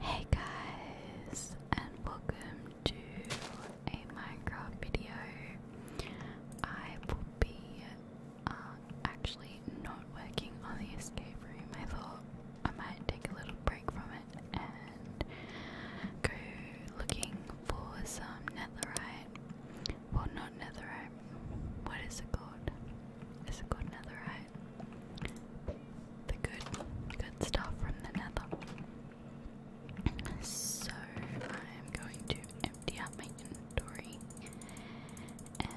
Hey guys, and welcome to a Minecraft video. I will be uh, actually not working on the escape room. I thought I might take a little break from it and go looking for some netherite. Well, not netherite. What is it called? Is it called netherite? the good, good stuff from the nether. So I'm going to empty out my inventory and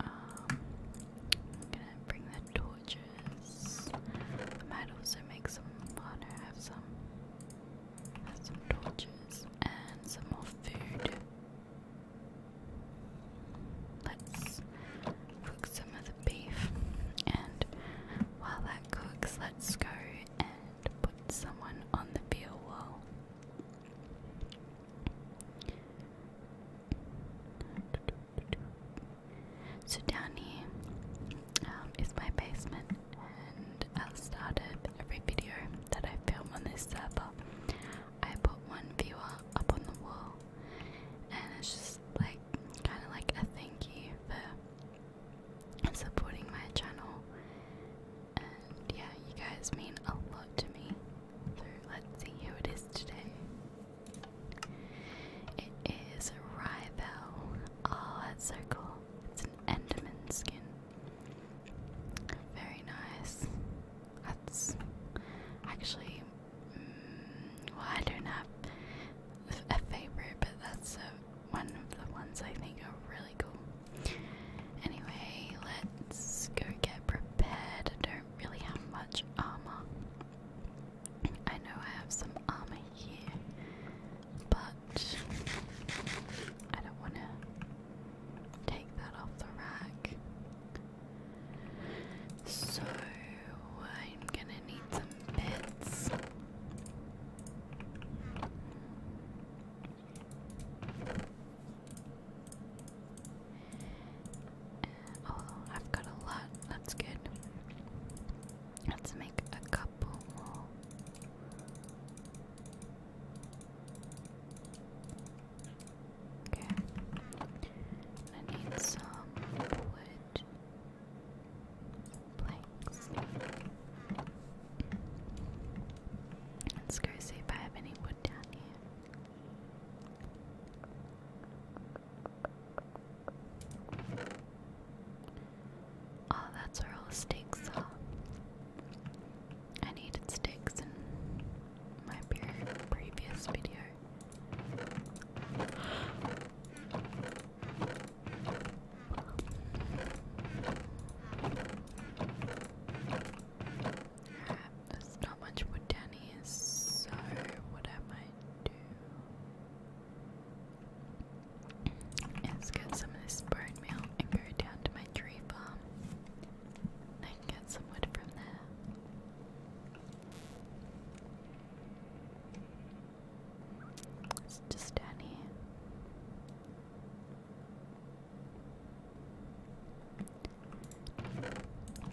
um, gonna bring the torches. might also make some. Oh have some. have some torches and some more food. Let's cook some of the beef, and while that cooks, let's go and put someone on the wall. So down here um, is my basement, and I've started every video that I film on this server. I put one viewer up on the wall, and it's just like kind of like a thank you for supporting my channel. And yeah, you guys mean a lot to me. So let's see who it is today. It is a rival. Oh, that's so cool. It's an Enderman skin. Very nice. That's actually well, I don't have a favorite, but that's uh, one of the ones I think are really cool. Anyway, let's go get prepared. I don't really have much armor. I know I have some armor here, but I don't want to take that off the rack. So I'm gonna need some bits. Uh, oh, I've got a lot. That's good. Let's make a couple more. Okay. I need some wood planks. Let's go see if I have any wood down here. Oh, that's where all the sticks are. I needed sticks in my previous video. There's not much wood down so what I might do is get some of this bone meal and go down to my tree farm. I get some wood from there. It's just down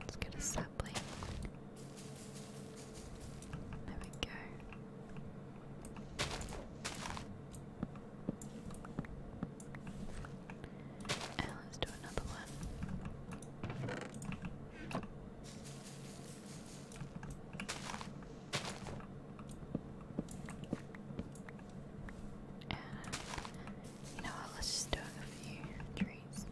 Let's get a sapling. There we go. Oh, let's do another one you know what, let's just do a few trees.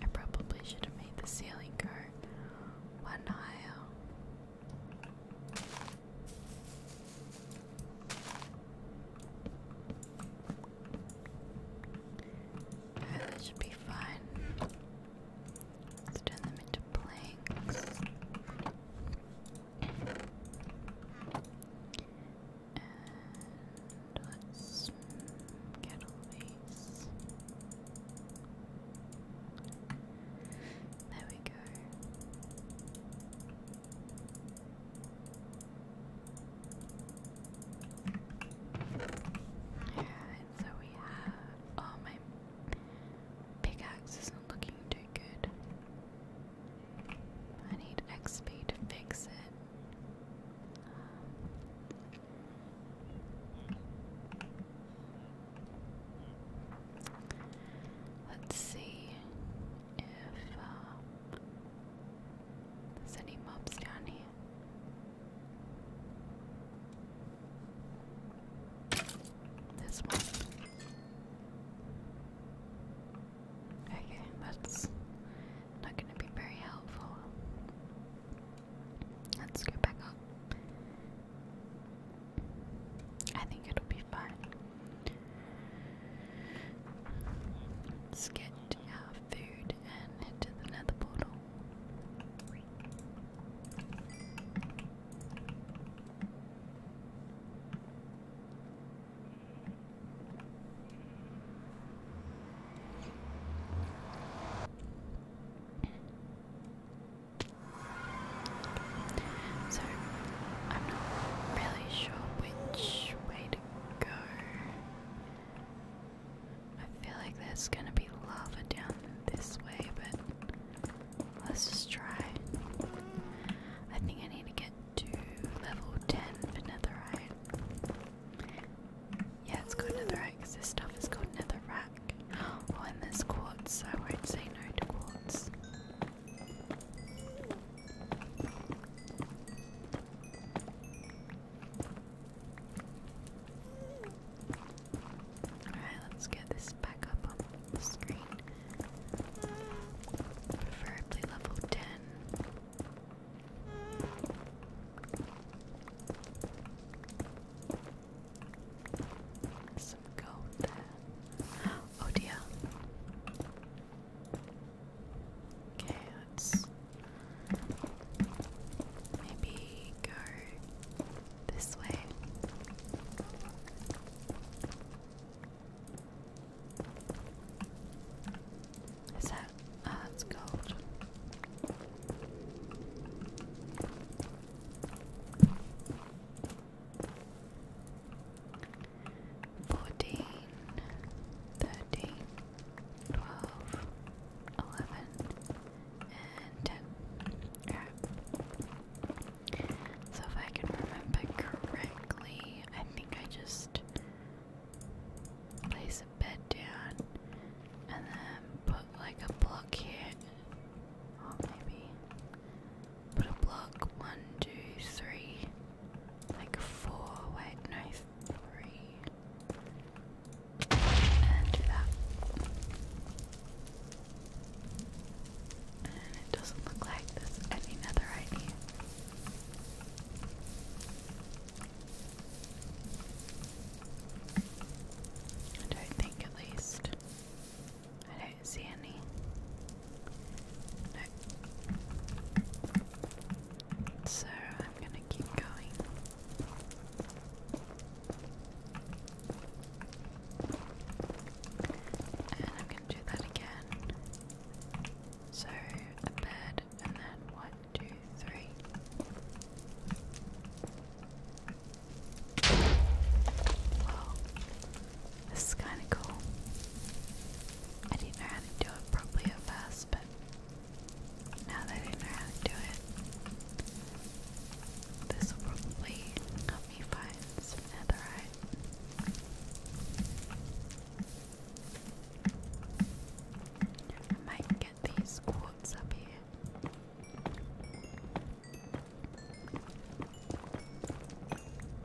I probably should have made the ceiling go one aisle. Oh, that should be fine. turn them into planks. And let's get all there we go. Alright, so we have. Oh, my pickaxe isn't looking too good. I need XP to fix it. Let's see if uh, there's any mobs down here. This one. Okay, that's not going to be very helpful. Let's get back up. I think it'll be fine. Let's get our food and head the nether portal. So, I'm not really sure which way to go. I feel like there's gonna be lava down this way, but let's just try. I think I need to get to level 10 for netherite. Yeah, it's called netherrack because this stuff is called netherrack. Oh, and there's quartz, I won't say no to quartz. Alright, let's get this back up on the screen. Preferably level 10. Some gold there. Oh dear. Okay, let's maybe go this way. Is that that's it's gold. Fourteen, thirteen, twelve, eleven, and ten. Alright. So if I can remember correctly, I think I just place bed down and then put like a block here. Oh, maybe put a block one, two, three, like four, wait, no, three. And do that. And it doesn't look like there's any netherite I don't think, at least. I don't see any. So I'm gonna keep going. And I'm gonna do that again. So a bed and then what? two, three. Wow, this is kind of cool. I didn't know how to do it properly at first, but now that I know how to do it, this will probably help me find some netherite. I might get these quartz up here.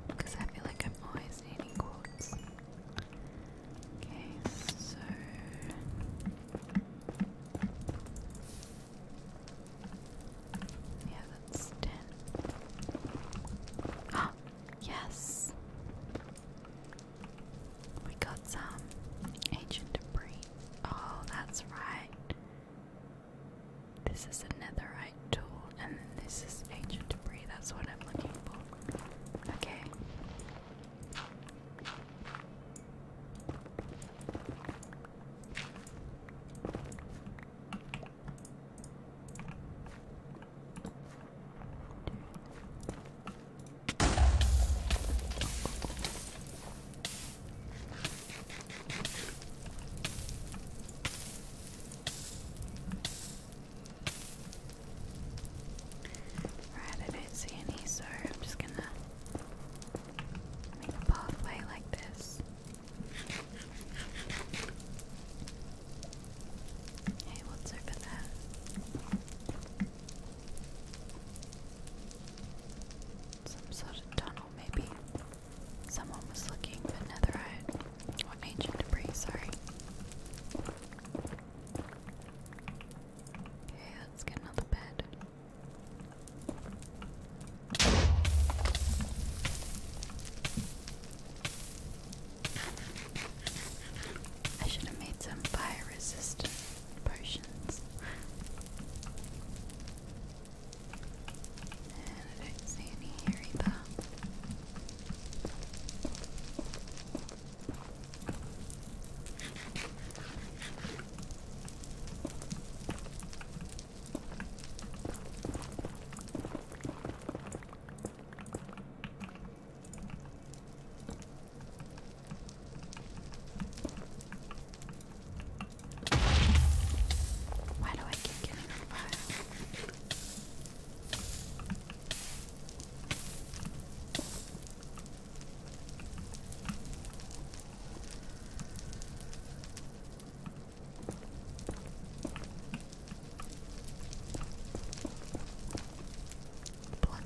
Because I feel like I'm always needing quartz. Okay, so. Yeah, that's 10. Ah, yes! We got some ancient debris. Oh, that's right. This is a netherite tool, and this is ancient debris. That's what I'm looking for. Okay. Right, I don't see any, so I'm just gonna make a pathway like this. Hey, what's over there? Some sort of tunnel, maybe. Someone was looking for netherite. Or ancient debris, sorry. Okay, let's get another bed. I should have made some fire resistant potions. And I don't see any here either. Why do I keep getting on fire?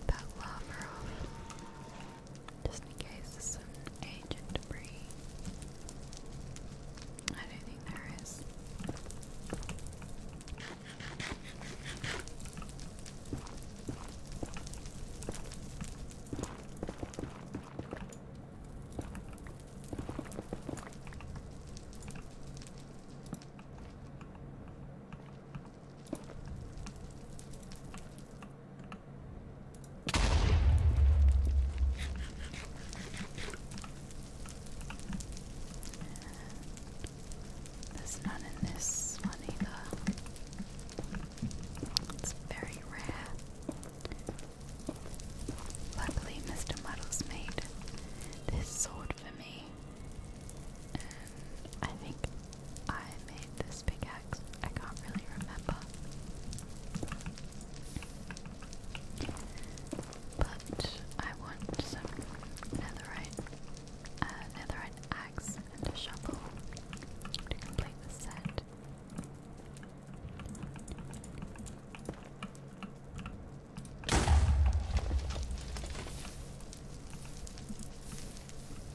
that lava off. Just in case there's some ancient debris. I don't think there is. There's none in this one either. It's very rare. Luckily, Mr. Muddle's made this sword for me, and um, I think I made this big axe. I can't really remember. But I want some netherite, uh, netherite axe and shovel to complete the set.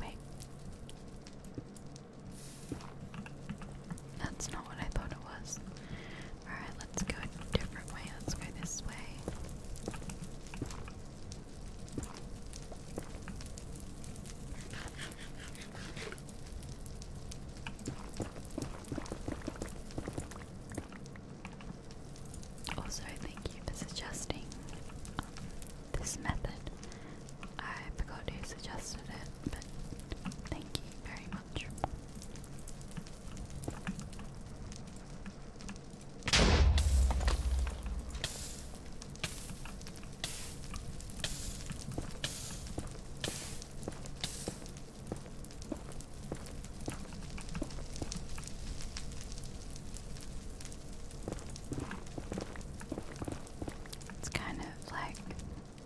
Wait. That's not what I thought it was. Alright, let's go a different way. Let's go this way. Also, oh, thank you for suggesting this method. I forgot who suggested it, but thank you very much. It's kind of like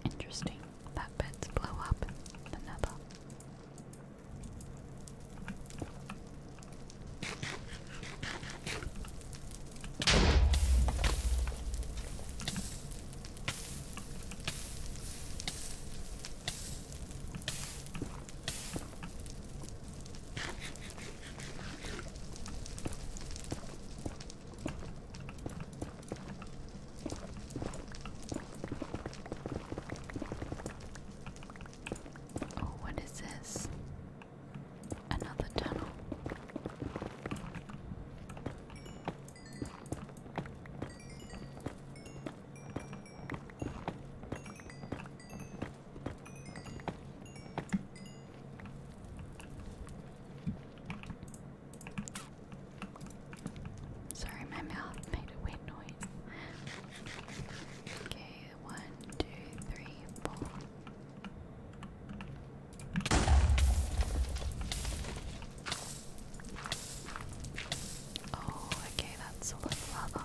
interesting that beds blow up the Oh, what is this? Another tunnel. Sorry, my mouth made a weird noise. Okay, one, two, three, four. Oh, okay, that's all the lava.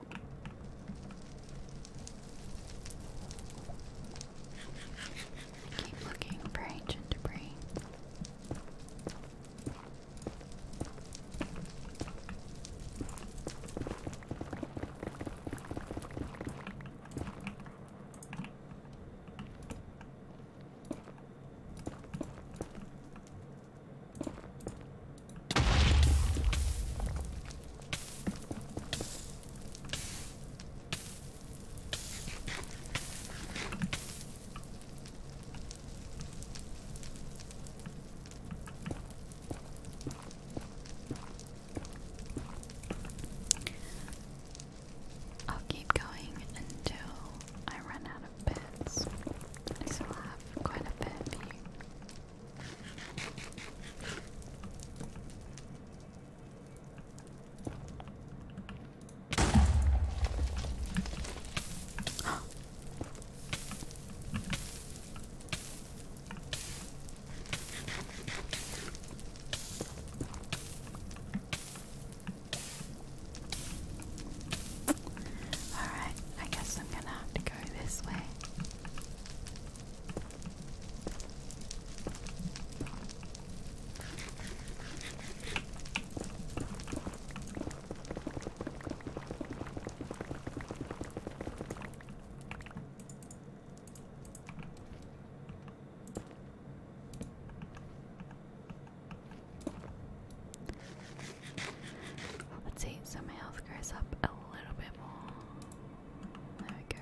Keep looking for ancient debris. I'll keep going until I run out of bits. I still have quite a bit, but you Alright, I guess I'm gonna have to go this way. Let's see, so my health goes up a little bit more. There we go.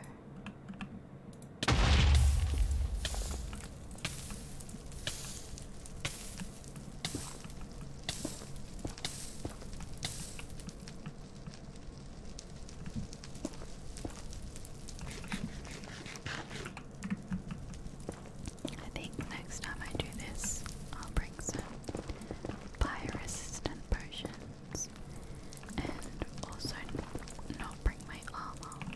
I think next time I do this, I'll bring some fire resistant potions weapons and also not bring my armor.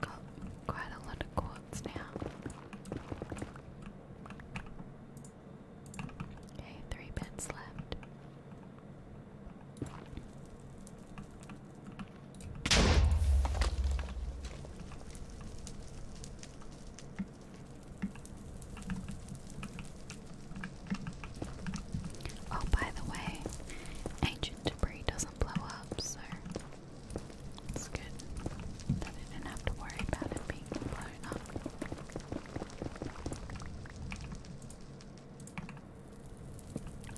got quite a lot of quartz now. Okay, three bits left. Oh, by the way, HMS gingerbread doesn't blow up, so it's good I didn't have to worry about it being blown up.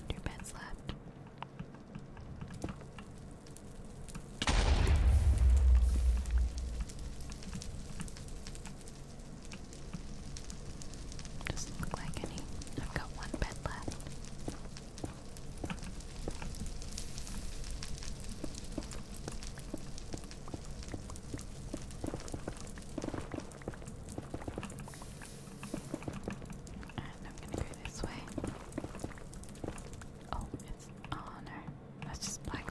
Two beds left. does like any. I've got one bed left. And I'm gonna go this way. Oh, oh no, that's just black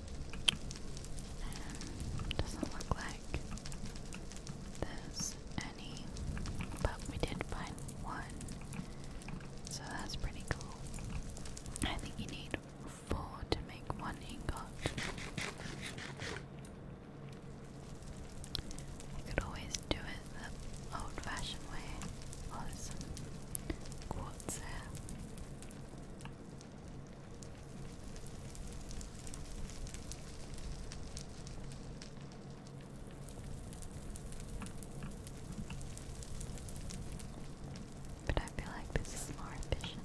Um, doesn't look like there's any, but we did find one, so that's pretty cool. I think you need four to make one ingot. You could always do it the old fashioned way. Oh, there's but I feel like this is more efficient.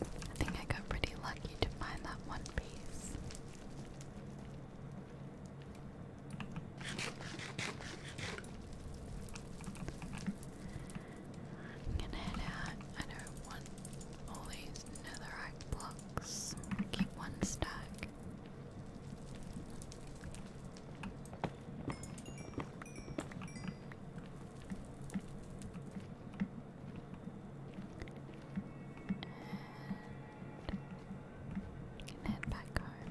I think I got pretty lucky to find that one piece. I'm gonna head out. I don't want all these netherite blocks. Keep one stack. can head back home.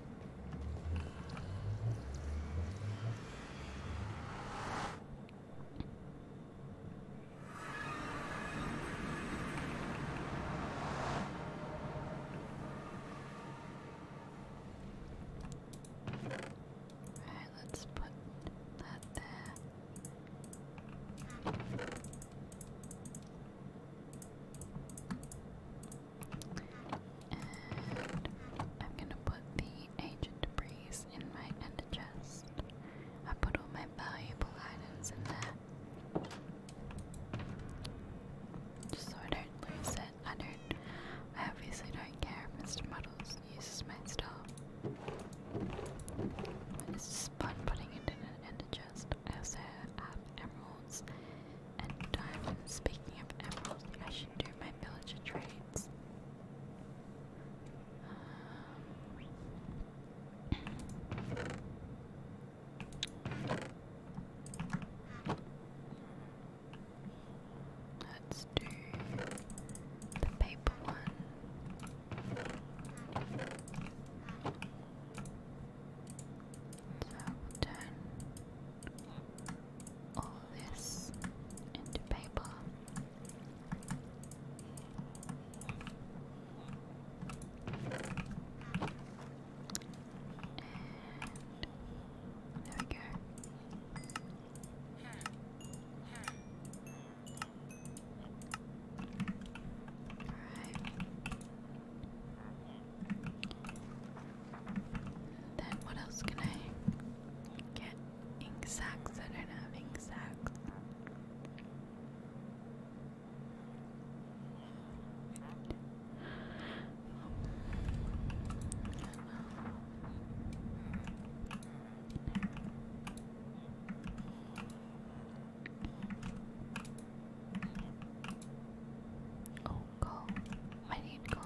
Alright, let's put that there. And I'm gonna put the agent breeze in my end the chest. I put all my valuable items in there. Just so I don't lose it. I don't I obviously don't care if Mr. Muddles uses my stuff. And it's just fun putting it in an ender chest. I have emeralds and diamonds. Speaking of emeralds, I should do my villager trades. Um, Let's do the paper one. So turn all this into paper. And there we go. Alright. Then what else can I get? Ink sacks? I don't ink sacks. Oh, go. I need go.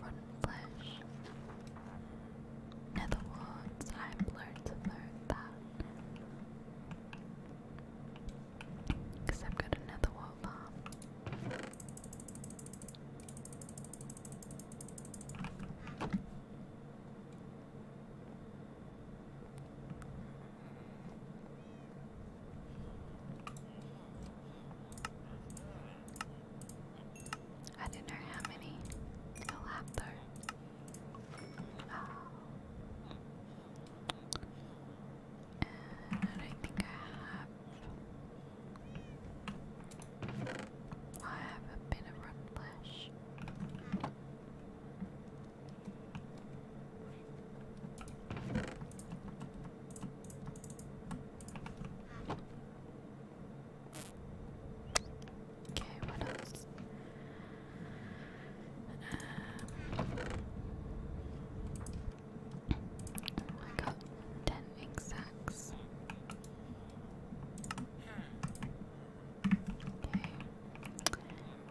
Run flash. In I've learned to learn that. Because I've got another wall bomb. I don't know how many he'll have though. And I think I have. I have a bit of red flesh. Okay, what else? Um, I got ten exacts. Okay,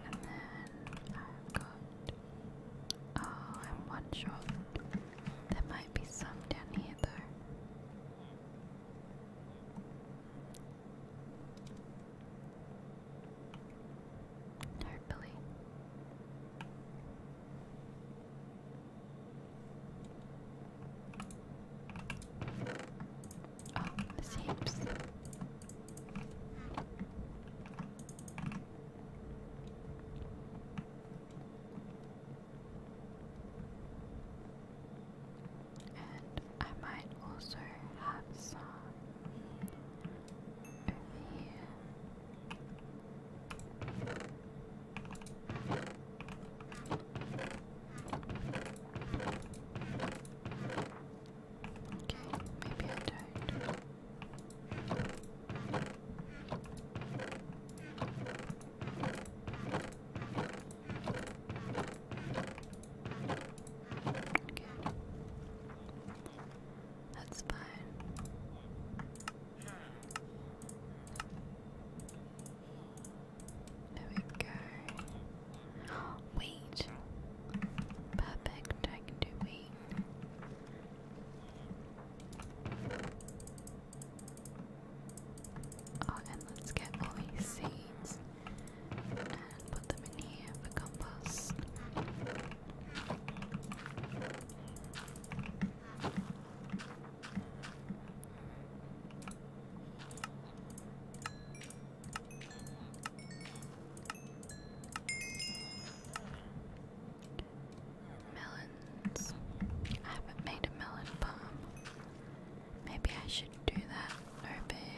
and then I've got. Oh, I'm one shot. There might be some down here though. Hopefully. Oh, this heaps and I might also have some over here. Okay, maybe I don't. That's fine. There we go. Wait. Perfect. I can do wait. Oh, and let's get all these seeds put them in here for compost. Melons. I haven't made a melon bomb. Maybe I should do that over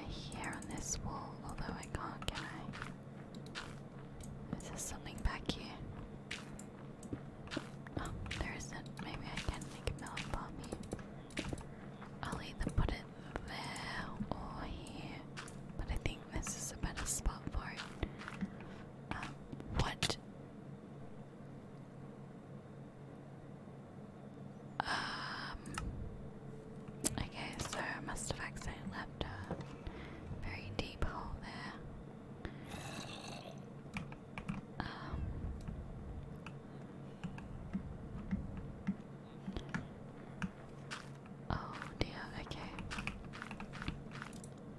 here on this wall, although I can't, get it. Is there something back here? Oh, there isn't. Maybe I can make it melon bomb here. I'll either put it there or here, but I think this is a better spot for it. Um, what? Um. Okay, so I must have accidentally left a very deep hole there. Um, oh dear, okay.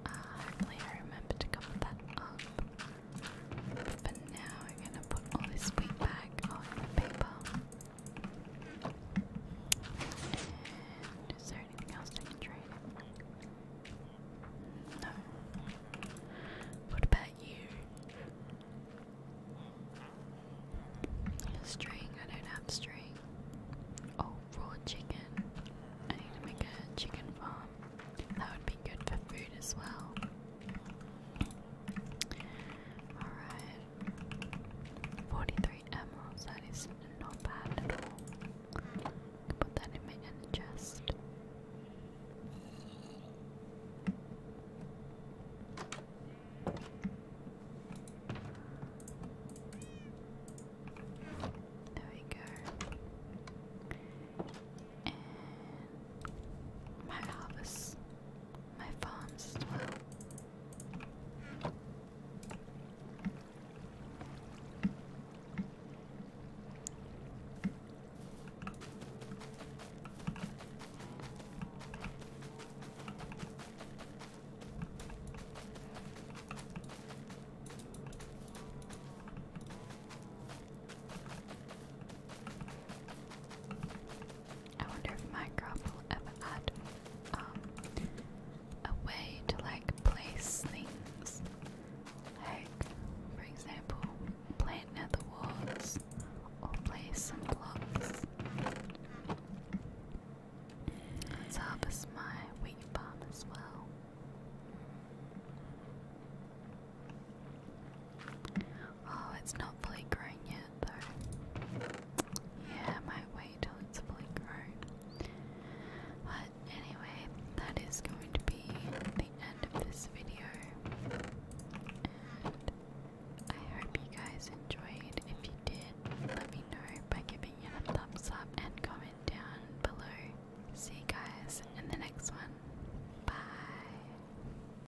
Uh, hopefully I remember to cover that up now we're going to put all this wheat back on the paper. is there anything else I can trade? No. What about you? String, I don't have string. Oh, raw chicken. I need to make a chicken farm. That would be good for food as well. Alright. 43 emeralds, that is not bad at all. put that in my chest. There we go. my harvest my farms as I wonder if Minecraft will ever add um, a way to like place things. Like, for example, plant nether walls or place some blocks. Let's harvest my wheat farm as well. Oh, it's not fully grown yet, though. Yeah, I might wait till it's fully grown. But anyway, that is going to be the end of this video. I hope you guys enjoyed. If you did, let me know by giving it a thumbs up and comment down below. See you guys in the next one. Bye.